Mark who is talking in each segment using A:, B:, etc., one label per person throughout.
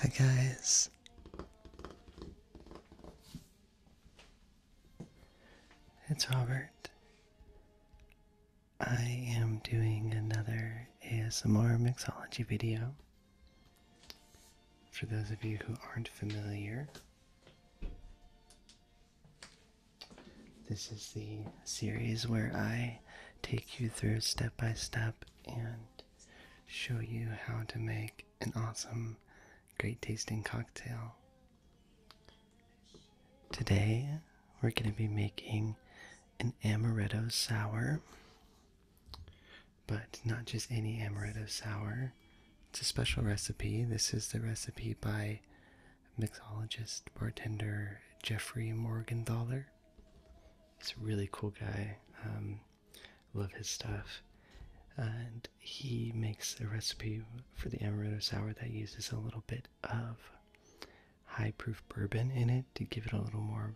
A: Hi guys. It's Robert. I am doing another ASMR mixology video. For those of you who aren't familiar, this is the series where I take you through step by step and show you how to make an awesome, great tasting cocktail. Today, we're going to be making an amaretto sour, but not just any amaretto sour. It's a special recipe. This is the recipe by mixologist bartender Jeffrey Morgenthaler. It's a really cool guy. Um, love his stuff. And he makes a recipe for the amaretto sour that uses a little bit of high proof bourbon in it to give it a little more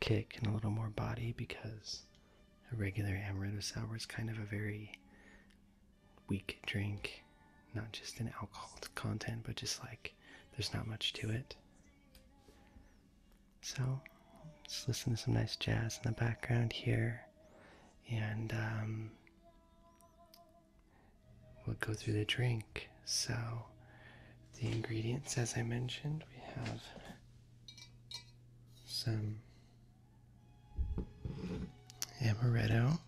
A: kick and a little more body because a regular amaretto sour is kind of a very weak drink, not just in alcohol content, but just like there's not much to it. So let's listen to some nice jazz in the background here, and um, we'll go through the drink. So the ingredients, as I mentioned, we have some amaretto.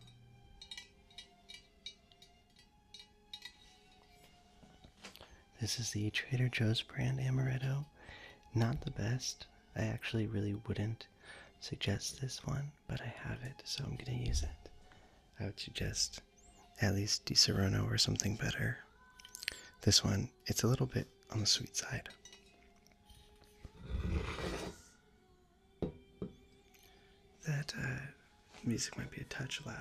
A: This is the Trader Joe's brand amaretto. Not the best. I actually really wouldn't suggest this one, but I have it, so I'm going to use it. I would suggest at least Di Serono or something better. This one, it's a little bit on the sweet side. That uh, music might be a touch loud.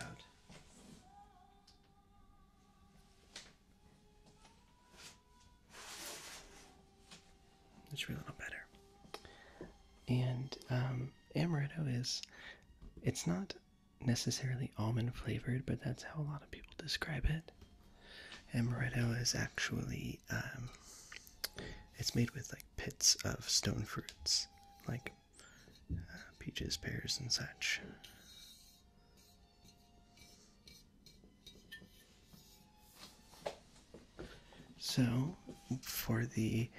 A: It should be a little better. And um, amaretto is, it's not necessarily almond flavored, but that's how a lot of people describe it. Amaretto is actually, um, it's made with like pits of stone fruits, like uh, peaches, pears, and such. So, for the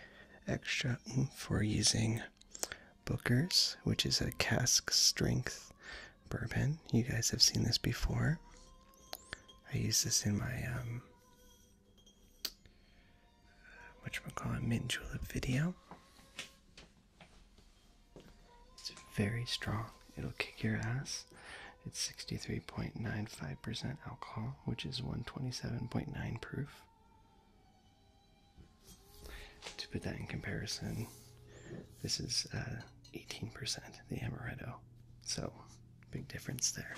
A: extra for using Booker's, which is a cask strength bourbon, you guys have seen this before. I use this in my um, which we call a mint julep video. It's very strong. It'll kick your ass. It's 63.95% alcohol, which is 127.9 proof. To put that in comparison, this is 18%, uh, the amaretto. So, big difference there.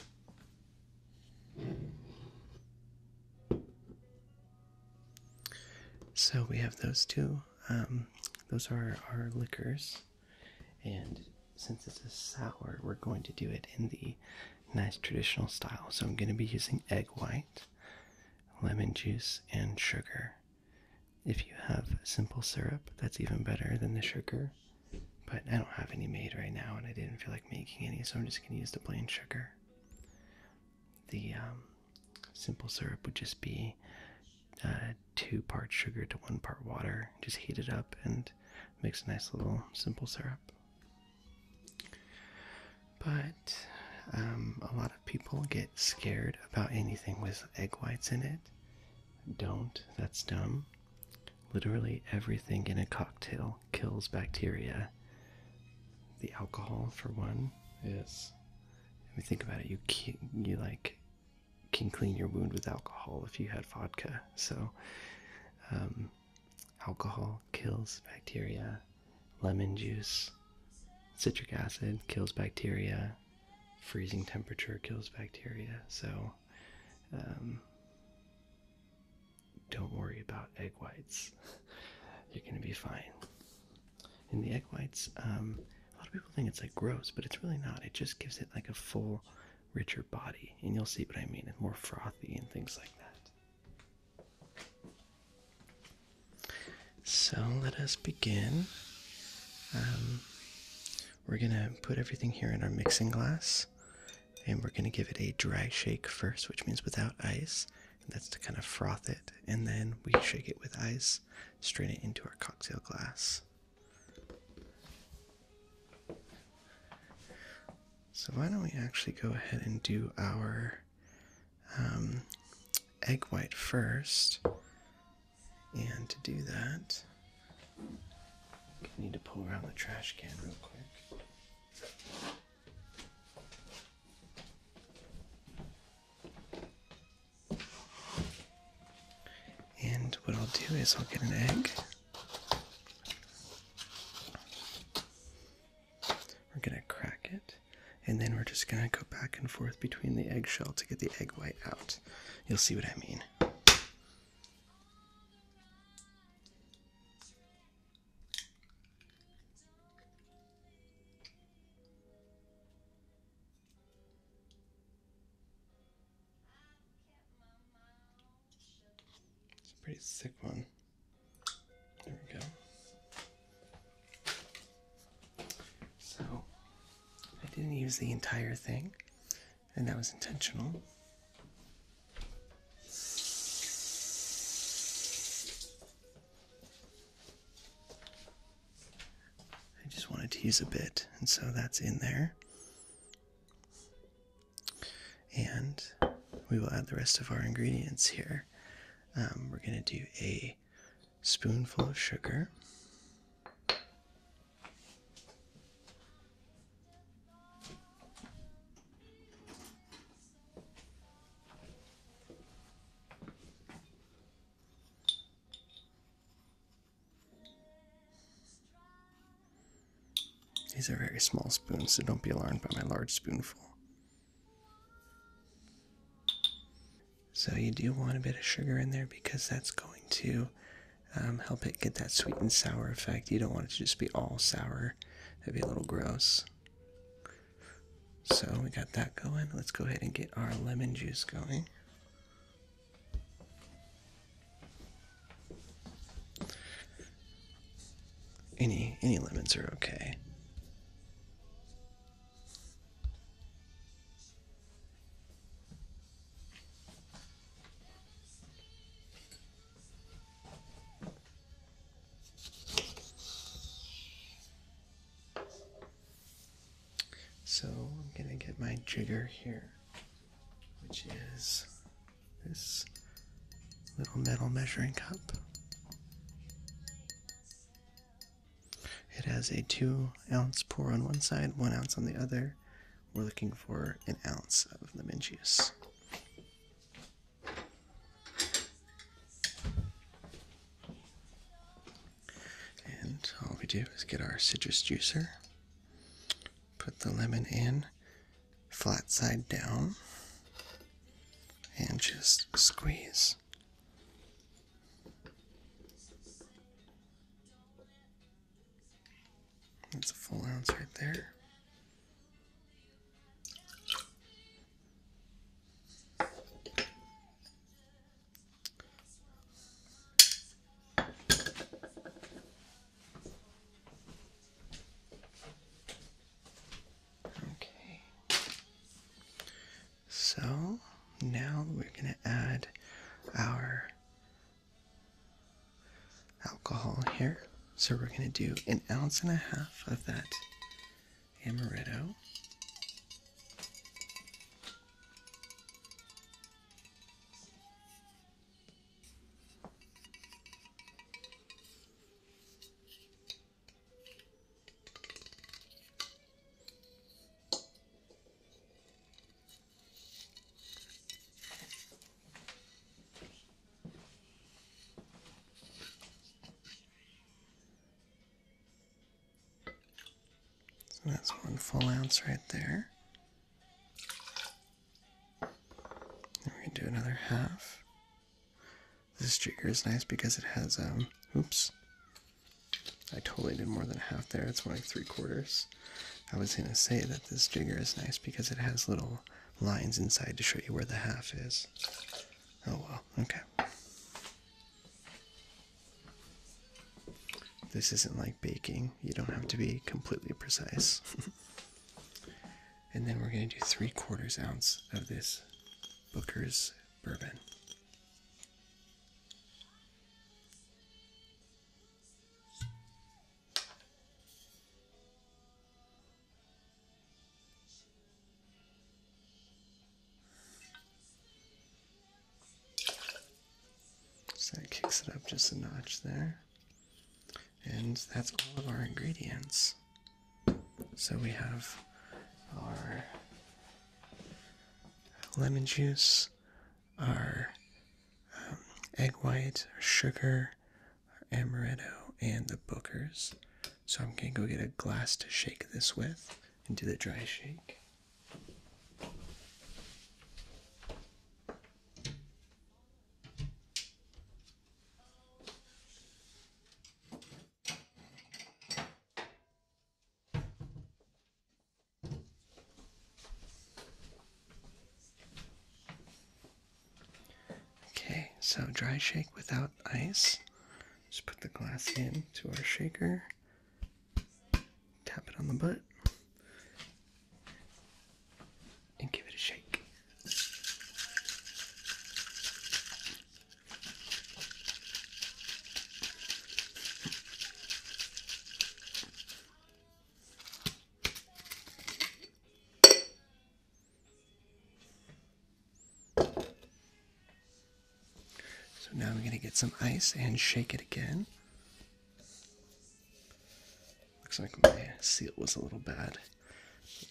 A: So we have those two. Um, those are our liquors, and since it's a sour, we're going to do it in the nice traditional style. So I'm going to be using egg white, lemon juice, and sugar. If you have simple syrup, that's even better than the sugar. But I don't have any made right now, and I didn't feel like making any, so I'm just going to use the plain sugar. The um, simple syrup would just be uh, two parts sugar to one part water. Just heat it up and makes a nice little simple syrup. But um, a lot of people get scared about anything with egg whites in it. Don't, that's dumb. Literally everything in a cocktail kills bacteria the alcohol for one is if you think about it you can you like can clean your wound with alcohol if you had vodka so um, alcohol kills bacteria lemon juice citric acid kills bacteria freezing temperature kills bacteria so um, don't worry about egg whites. You're gonna be fine. And the egg whites, um, a lot of people think it's like gross, but it's really not. It just gives it like a full, richer body, and you'll see what I mean. It's more frothy and things like that. So let us begin. Um, we're gonna put everything here in our mixing glass and we're going to give it a dry shake first, which means without ice, and that's to kind of froth it, and then we shake it with ice, strain it into our cocktail glass. So, why don't we actually go ahead and do our um, egg white first? And to do that, I need to pull around the trash can real quick. And what I'll do is I'll get an egg. We're going to crack it, and then we're just going to go back and forth between the eggshell to get the egg white out. You'll see what I mean. It's a pretty sick one. There we go. So I didn't use the entire thing, and that was intentional. I just wanted to use a bit, and so that's in there. And we will add the rest of our ingredients here. Um, we're going to do a spoonful of sugar. These are very small spoons, so don't be alarmed by my large spoonful. So, you do want a bit of sugar in there because that's going to um, help it get that sweet and sour effect. You don't want it to just be all sour. That'd be a little gross. So we got that going. Let's go ahead and get our lemon juice going. Any any lemons are okay. So I'm gonna get my jigger here, which is this little metal measuring cup. It has a two ounce pour on one side, one ounce on the other. We're looking for an ounce of lemon juice. And all we do is get our citrus juicer, put the lemon in flat side down, and just squeeze. That's a full ounce right there. Okay. So now we're going to add our alcohol here. So we're going to do an ounce and a half of that amaretto. So that's one full ounce right there. Then we can do another half. This jigger is nice because it has, um, oops. I totally did more than half there. It's more like three quarters. I was going to say that this jigger is nice because it has little lines inside to show you where the half is. Oh well, okay. This isn't like baking, you don't have to be completely precise. and then we're going to do three quarters ounce of this Booker's bourbon. So that kicks it up just a notch there. And that's all of our ingredients. So we have our lemon juice, our um, egg white, our sugar, amaretto, and the bookers. So I'm going to go get a glass to shake this with and do the dry shake. Okay, so dry shake without ice. Just put the glass in to our shaker. Tap it on the butt. And give it a shake. So now we're going to get some ice and shake it again. Looks like my seal was a little bad.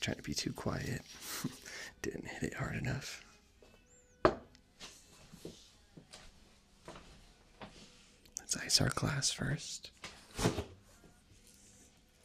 A: trying to be too quiet. Didn't hit it hard enough. Let's ice our glass first.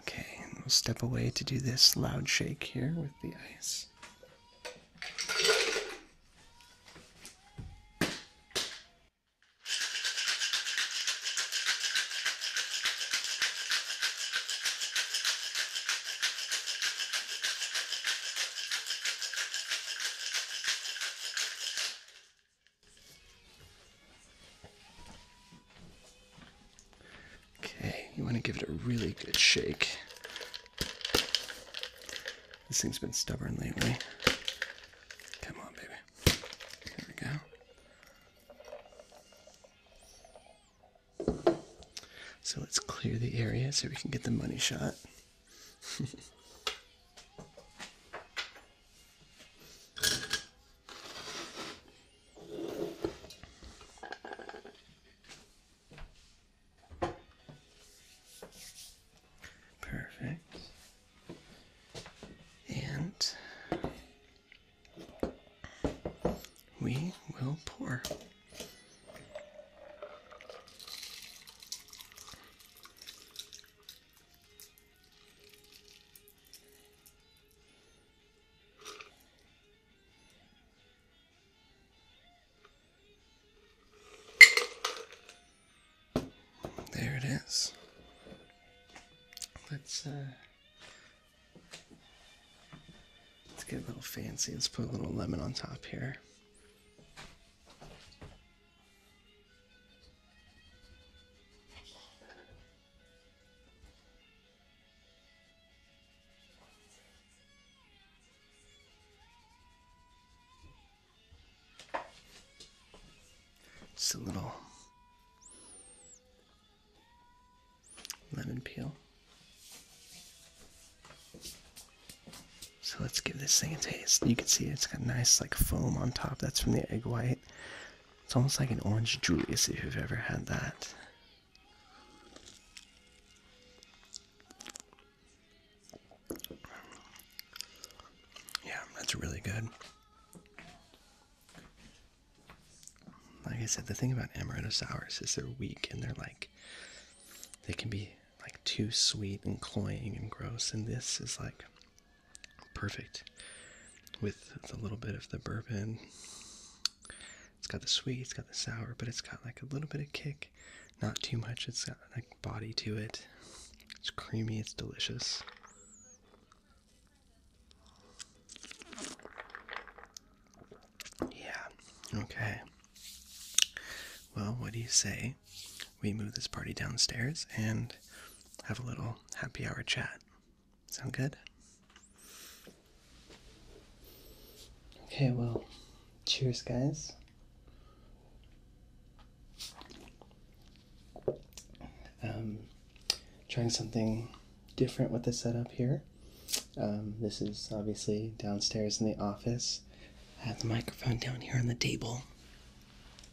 A: Okay, we'll step away to do this loud shake here with the ice. Okay, you want to give it a really good shake. This thing's been stubborn lately. Come on, baby. There we go. So let's clear the area so we can get the money shot. Perfect. And we will pour. There it is. Let's uh, let's get a little fancy. Let's put a little lemon on top here. Just a little lemon peel. So let's give this thing a taste. You can see it's got nice like foam on top. That's from the egg white. It's almost like an orange Julius if you've ever had that. Yeah, that's really good. Like I said, the thing about amaretto sours is they're weak and they're like, they can be like too sweet and cloying and gross. And this is like Perfect with a little bit of the bourbon. It's got the sweet, it's got the sour, but it's got like a little bit of kick. Not too much, it's got like body to it. It's creamy, it's delicious. Yeah, okay. Well, what do you say we move this party downstairs and have a little happy hour chat. Sound good? Okay, well, cheers, guys. Um, trying something different with the setup here. Um, this is obviously downstairs in the office. I have the microphone down here on the table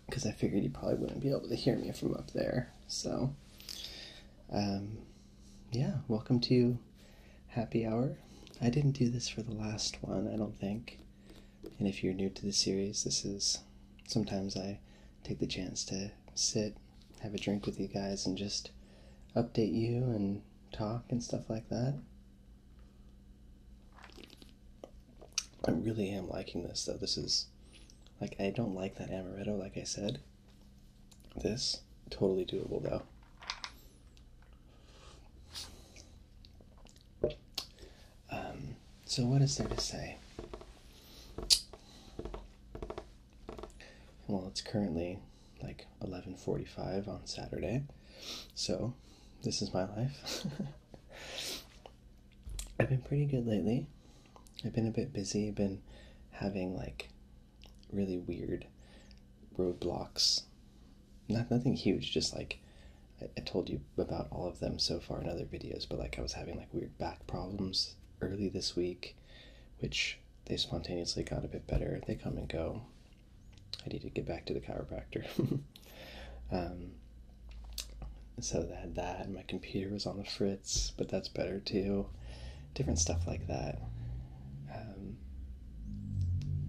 A: because I figured you probably wouldn't be able to hear me from up there. So, um, yeah, welcome to Happy Hour. I didn't do this for the last one, I don't think. And if you're new to the series, this is sometimes I take the chance to sit, have a drink with you guys, and just update you and talk and stuff like that. I really am liking this though. This is like I don't like that amaretto, like I said. This totally doable though. Um, so what is there to say? Well, it's currently like 11:45 on Saturday. So, this is my life. I've been pretty good lately. I've been a bit busy, been having like really weird roadblocks. Not nothing huge, just like I, I told you about all of them so far in other videos, but like I was having like weird back problems early this week, which they spontaneously got a bit better. They come and go. I need to get back to the chiropractor. um, so that that and my computer was on the fritz, but that's better too. Different stuff like that. Um,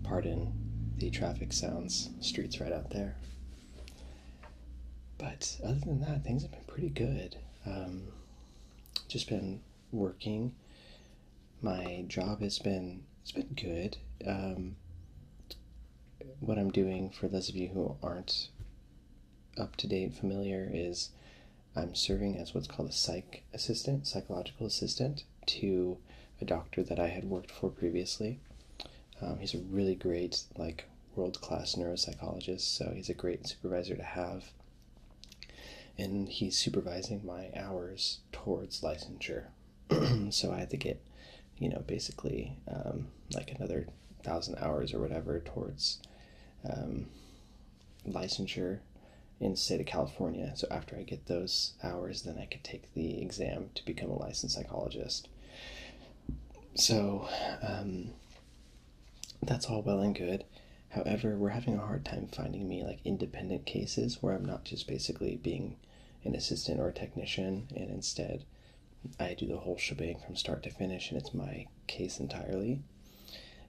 A: pardon the traffic sounds, streets right out there. But other than that, things have been pretty good. Um, just been working. My job has been it's been good. Um, what I'm doing, for those of you who aren't up to date familiar, is I'm serving as what's called a psych assistant, psychological assistant, to a doctor that I had worked for previously. Um, he's a really great, like, world class neuropsychologist, so he's a great supervisor to have. And he's supervising my hours towards licensure. so I had to get you know, basically um, like another thousand hours or whatever towards um, licensure in state of California. So after I get those hours, then I could take the exam to become a licensed psychologist. So um, that's all well and good. However, we're having a hard time finding me like independent cases where I'm not just basically being an assistant or a technician and instead I do the whole shebang from start to finish, and it's my case entirely.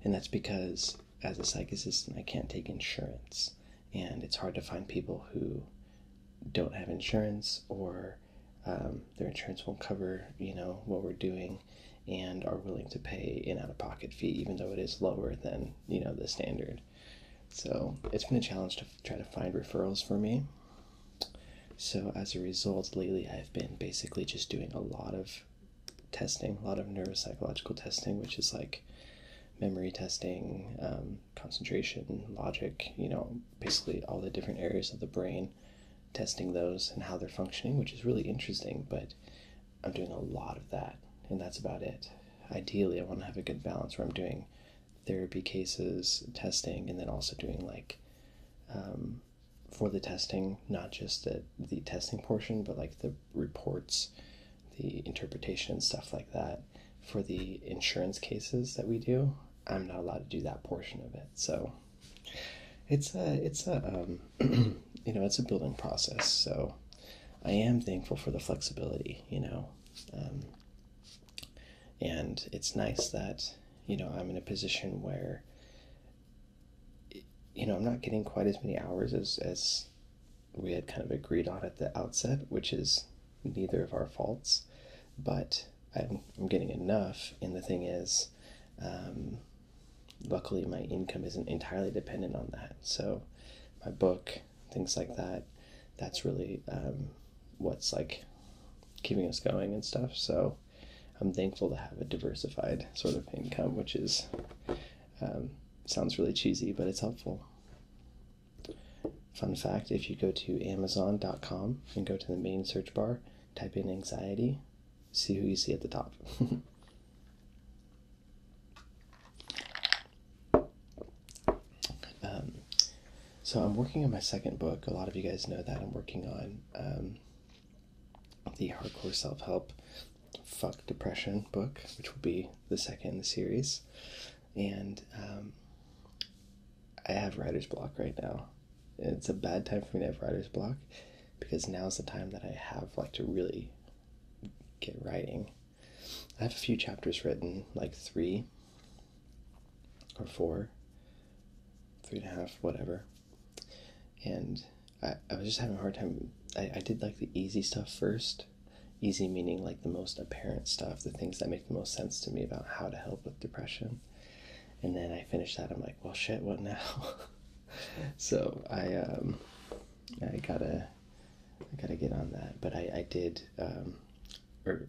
A: And that's because, as a psych assistant, I can't take insurance, and it's hard to find people who don't have insurance or um, their insurance won't cover, you know, what we're doing, and are willing to pay in out-of-pocket fee, even though it is lower than you know the standard. So it's been a challenge to try to find referrals for me. So, as a result, lately I've been basically just doing a lot of testing, a lot of neuropsychological testing, which is like memory testing, um, concentration, logic, you know, basically all the different areas of the brain, testing those and how they're functioning, which is really interesting, but I'm doing a lot of that, and that's about it. Ideally, I want to have a good balance where I'm doing therapy cases, testing, and then also doing like um, for the testing, not just the, the testing portion, but like the reports, the interpretation, and stuff like that. For the insurance cases that we do, I'm not allowed to do that portion of it. So it's a it's a um, you know it's a building process. So I am thankful for the flexibility. You know, um, and it's nice that you know i'm in a position where you know i'm not getting quite as many hours as as we had kind of agreed on at the outset which is neither of our faults but i'm, getting enough and the thing is um, luckily my income isn't entirely dependent on that so my book things like that that's really um, what's like keeping us going and stuff. So I'm thankful to have a diversified sort of income, which is um, sounds really cheesy, but it's helpful. Fun fact if you go to Amazon.com and go to the main search bar, type in anxiety, see who you see at the top. Um, so I'm working on my second book. A lot of you guys know that I'm working on um, the hardcore self help fuck depression book, which will be the second in the series. And um, I have writer's block right now. It's a bad time for me to have writer's block because now is the time that I have like to really get writing. I have a few chapters written, like three, or four, three and a half, whatever. And I, I was just having a hard time. I, I did like the easy stuff first. Easy meaning like the most apparent stuff, the things that make the most sense to me about how to help with depression. And then I finished that. I'm like, well, shit, what now? so I, um, I gotta, I gotta get on that. But I, I did, um,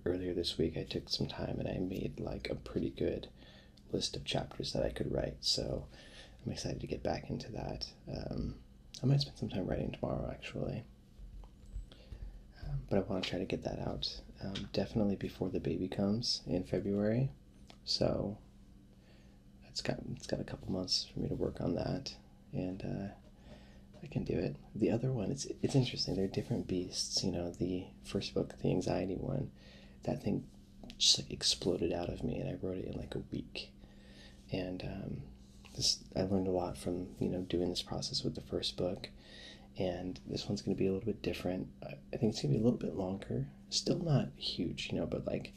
A: earlier this week I took some time and I made like a pretty good list of chapters that I could write. So I'm excited to get back into that. Um, I might spend some time writing tomorrow actually. Um, but I want to try to get that out um, definitely before the baby comes in February. So it's got it's got a couple months for me to work on that and uh, I can do it. The other one, it's it's interesting. They're different beasts. You know, the first book, the anxiety one, that thing just like exploded out of me, and I wrote it in like a week. And um, this, I learned a lot from you know doing this process with the first book, and this one's going to be a little bit different. I think it's going to be a little bit longer. Still not huge, you know, but like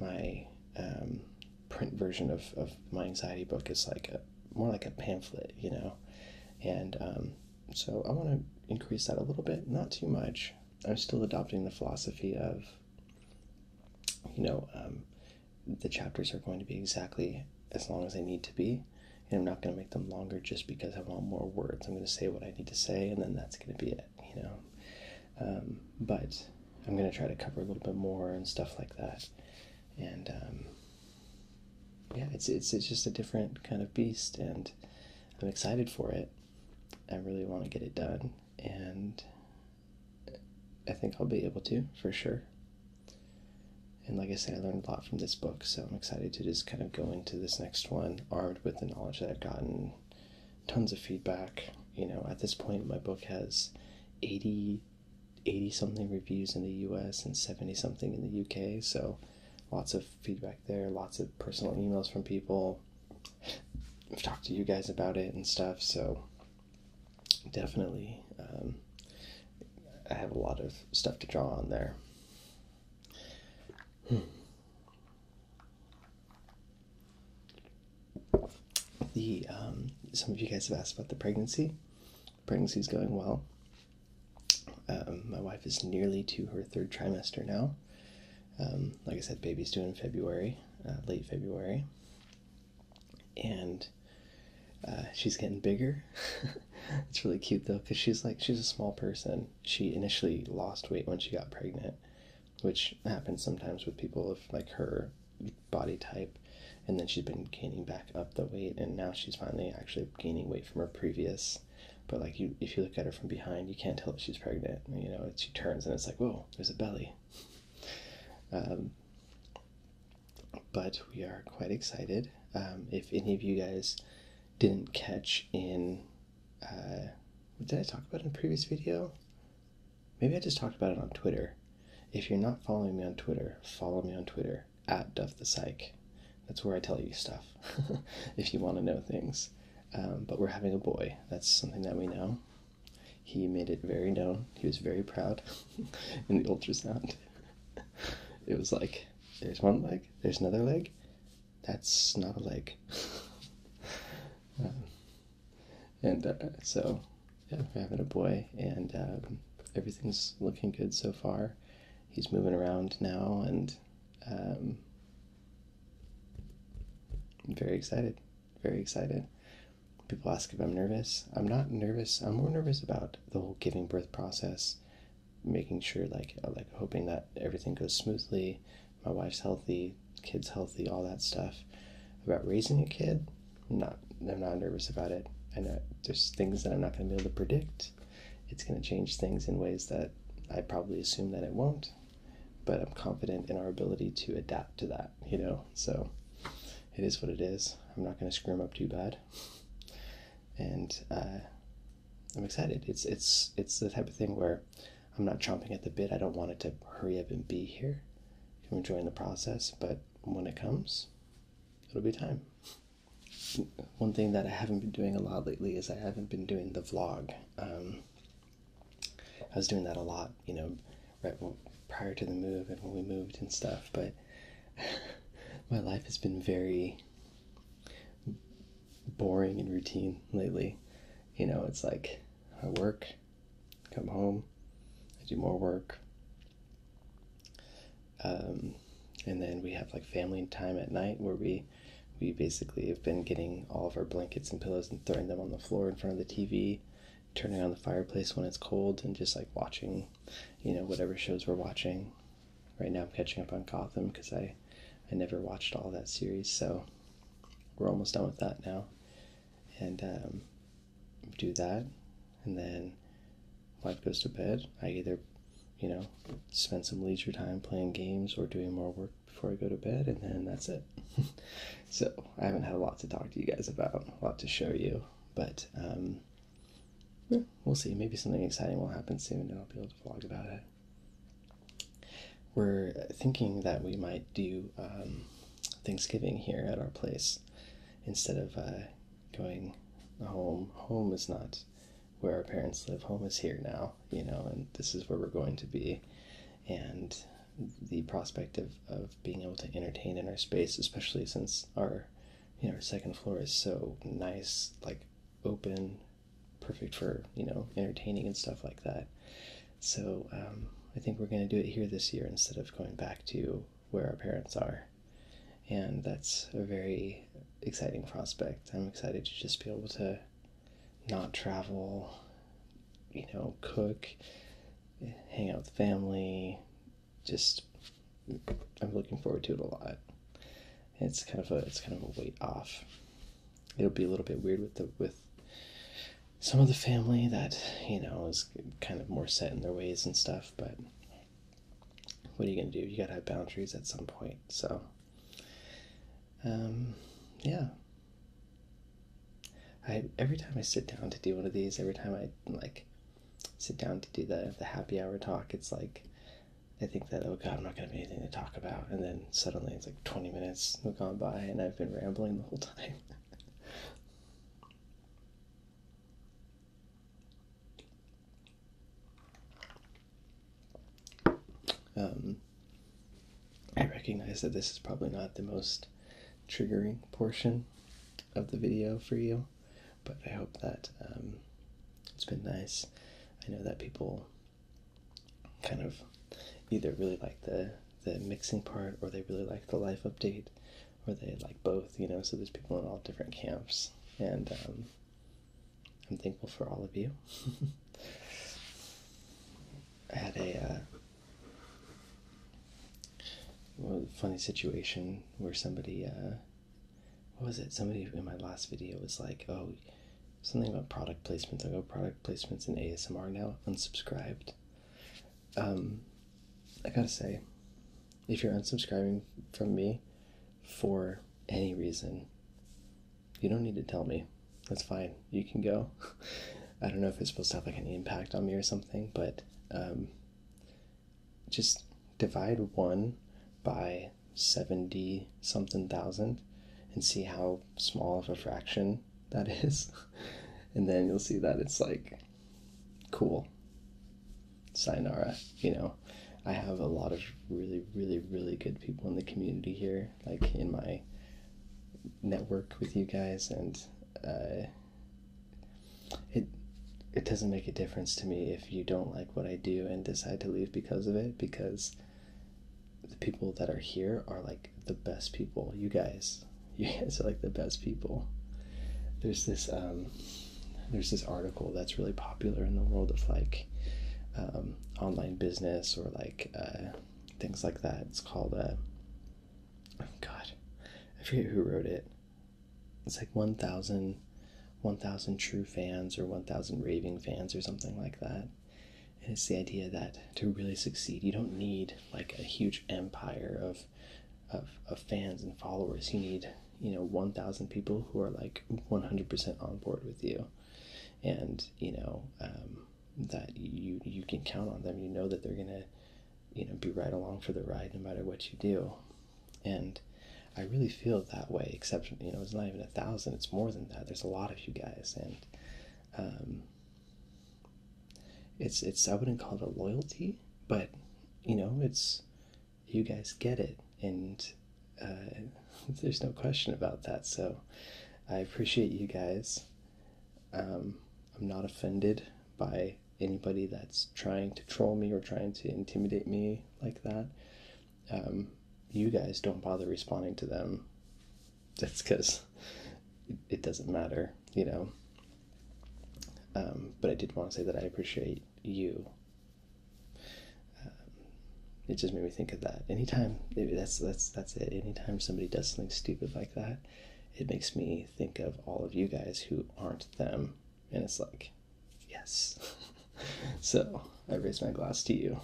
A: my um, print version of, of my anxiety book is like a more like a pamphlet, you know. And um, so I want to increase that a little bit, not too much. I'm still adopting the philosophy of, you know, um, the chapters are going to be exactly as long as they need to be. And I'm not going to make them longer just because I want more words. I'm going to say what I need to say, and then that's going to be it, you know. Um, but I'm going to try to cover a little bit more and stuff like that and um, yeah, it's it's it's just a different kind of beast, and I'm excited for it. I really want to get it done, and I think I'll be able to for sure. And like I said, I learned a lot from this book, so I'm excited to just kind of go into this next one armed with the knowledge that I've gotten, tons of feedback. You know, at this point, my book has 80 80 something reviews in the US and 70 something in the UK. So lots of feedback there, lots of personal emails from people. I've talked to you guys about it and stuff. So definitely, um, I have a lot of stuff to draw on there. Hmm. The um, some of you guys have asked about the pregnancy. Pregnancy is going well. Um, my wife is nearly to her third trimester now. Um, like I said, baby's due in February, uh, late February, and uh, she's getting bigger. it's really cute though, because she's like she's a small person. She initially lost weight when she got pregnant, which happens sometimes with people of like her body type and then she's been gaining back up the weight and now she's finally actually gaining weight from her previous but like you if you look at her from behind you can't tell if she's pregnant you know she turns and it's like whoa there's a belly um, but we are quite excited um, if any of you guys didn't catch in uh, what did i talk about in the previous video maybe i just talked about it on twitter if you're not following me on twitter follow me on twitter at Duff the Psych. That's where I tell you stuff if you want to know things. Um, but we're having a boy. That's something that we know. He made it very known. He was very proud in the ultrasound. it was like, there's one leg, there's another leg. That's not a leg. Um, and uh, so, yeah, we're having a boy, and um, everything's looking good so far. He's moving around now and um, I'm very excited. Very excited. People ask if I'm nervous. I'm not nervous. I'm more nervous about the whole giving birth process, making sure like uh, like hoping that everything goes smoothly, my wife's healthy, kids healthy, all that stuff. About raising a kid, I'm not I'm not nervous about it. I know uh, there's things that I'm not going to be able to predict. It's going to change things in ways that I probably assume that it won't, but I'm confident in our ability to adapt to that, you know? So it is what it is. I'm not going to screw them up too bad. And uh, I'm excited. It's, it's, it's the type of thing where I'm not chomping at the bit. I don't want it to hurry up and be here. I'm enjoying the process, but when it comes, it'll be time one thing that I haven't been doing a lot lately is I haven't been doing the vlog. Um, I was doing that a lot, you know, prior to the move and when we moved and stuff, but my life has been very boring and routine lately. You know, it's like I work, come home, I do more work, um, and then we have like family time at night where we we basically have been getting all of our blankets and pillows and throwing them on the floor in front of the TV, turning on the fireplace when it's cold, and just like watching, you know, whatever shows we're watching. Right now, I'm catching up on Gotham because I, I never watched all that series, so we're almost done with that now. And um, do that, and then wife goes to bed. I either, you know, spend some leisure time playing games or doing more work before I go to bed, and then that's it. so I haven't had a lot to talk to you guys about, a lot to show you, but um, we'll see. Maybe something exciting will happen soon, and I'll be able to vlog about it. We're thinking that we might do um, Thanksgiving here at our place instead of uh, going home. Home is not where our parents live. Home is here now, you know, and this is where we're going to be. And the prospect of, of being able to entertain in our space, especially since our you know, our second floor is so nice, like open, perfect for, you know, entertaining and stuff like that. So um, I think we're going to do it here this year instead of going back to where our parents are and that's a very exciting prospect. I'm excited to just be able to not travel, you know, cook, hang out with family. Just, I'm looking forward to it a lot. It's kind of a it's kind of a weight off. It'll be a little bit weird with the with some of the family that you know is kind of more set in their ways and stuff, but what are you gonna do? You gotta have boundaries at some point. So, um, yeah. I every time I sit down to do one of these, every time I like sit down to do the the happy hour talk, it's like I think that oh god, I'm not gonna have anything to talk about, and then suddenly it's like 20 minutes have gone by, and I've been rambling the whole time. Um, I recognize that this is probably not the most triggering portion of the video for you, but I hope that um, it's been nice. I know that people kind of either really like the the mixing part or they really like the life update or they like both, you know, so there's people in all different camps. And um, I'm thankful for all of you. I had a uh, funny situation where somebody, uh, what was it? Somebody in my last video was like, oh, something about product placements. I go, product placements in ASMR now, unsubscribed um, I gotta say, if you're unsubscribing from me for any reason, you don't need to tell me. That's fine. You can go. I don't know if it's supposed to have like an impact on me or something, but um, just divide one by 70 something thousand and see how small of a fraction that is. and then you'll see that it's like cool. Sayonara, you know. I have a lot of really, really, really good people in the community here, like in my network with you guys, and uh, it it doesn't make a difference to me if you don't like what I do and decide to leave because of it, because the people that are here are like the best people. You guys you guys are like the best people. There's this um, there's this article that's really popular in the world of like um, online business or like uh, things like that. It's called uh, God, I forget who wrote it. It's like 1,000 1,000 true fans or 1,000 raving fans or something like that. And it's the idea that to really succeed, you don't need like a huge empire of of fans and followers. You need you know 1,000 people who are like 100% on board with you, and you know um, that you you can count on them. You know that they're gonna you know be right along for the ride no matter what you do, and I really feel that way. Except you know it's not even a thousand; it's more than that. There's a lot of you guys, and um, it's it's I wouldn't call it a loyalty but you know, it's you guys get it, and uh, there's no question about that. So I appreciate you guys. Um, I'm not offended by anybody that's trying to troll me or trying to intimidate me like that. Um, you guys don't bother responding to them. That's because it doesn't matter, you know. Um, but I did want to say that I appreciate you. Um, it just made me think of that. Anytime that's that's that's it. Anytime somebody does something stupid like that, it makes me think of all of you guys who aren't them, and it's like, yes. so I raise my glass to you.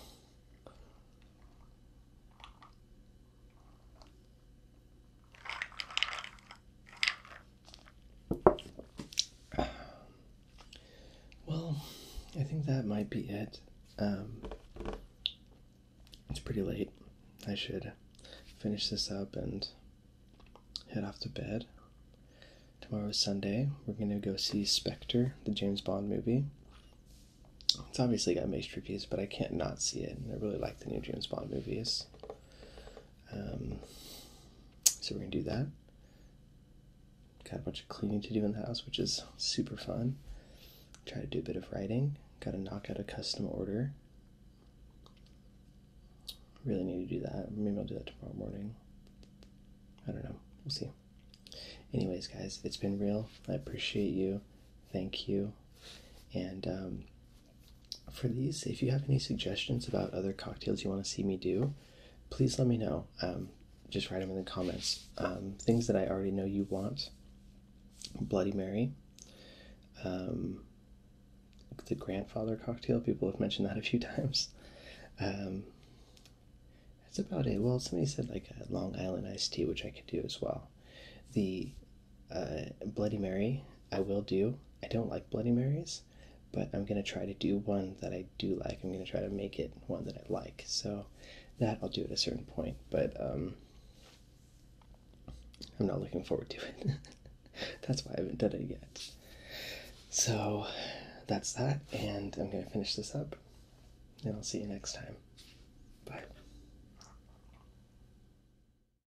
A: Well, I think that might be it. Um, it's pretty late. I should finish this up and head off to bed. Tomorrow is Sunday. We're going to go see Spectre, the James Bond movie. It's obviously got mixed reviews, but I can't not see it. And I really like the new James Bond movies. Um, so we're gonna do that. Got a bunch of cleaning to do in the house, which is super fun. Try to do a bit of writing. Got to knock out a custom order. Really need to do that. Maybe I'll do that tomorrow morning. I don't know. We'll see. Anyways, guys, it's been real. I appreciate you. Thank you. And um, for these, if you have any suggestions about other cocktails you want to see me do, please let me know. Um, just write them in the comments. Um, things that I already know you want Bloody Mary, um, the grandfather cocktail, people have mentioned that a few times. that's about it. Well, somebody said like a Long Island iced tea, which I could do as well. The uh, Bloody Mary, I will do. I don't like Bloody Marys, but I'm going to try to do one that I do like. I'm going to try to make it one that I like. So that I'll do at a certain point, but um, I'm not looking forward to it. that's why I haven't done it yet. So that's that, and I'm going to finish this up, and I'll see you next time. Bye.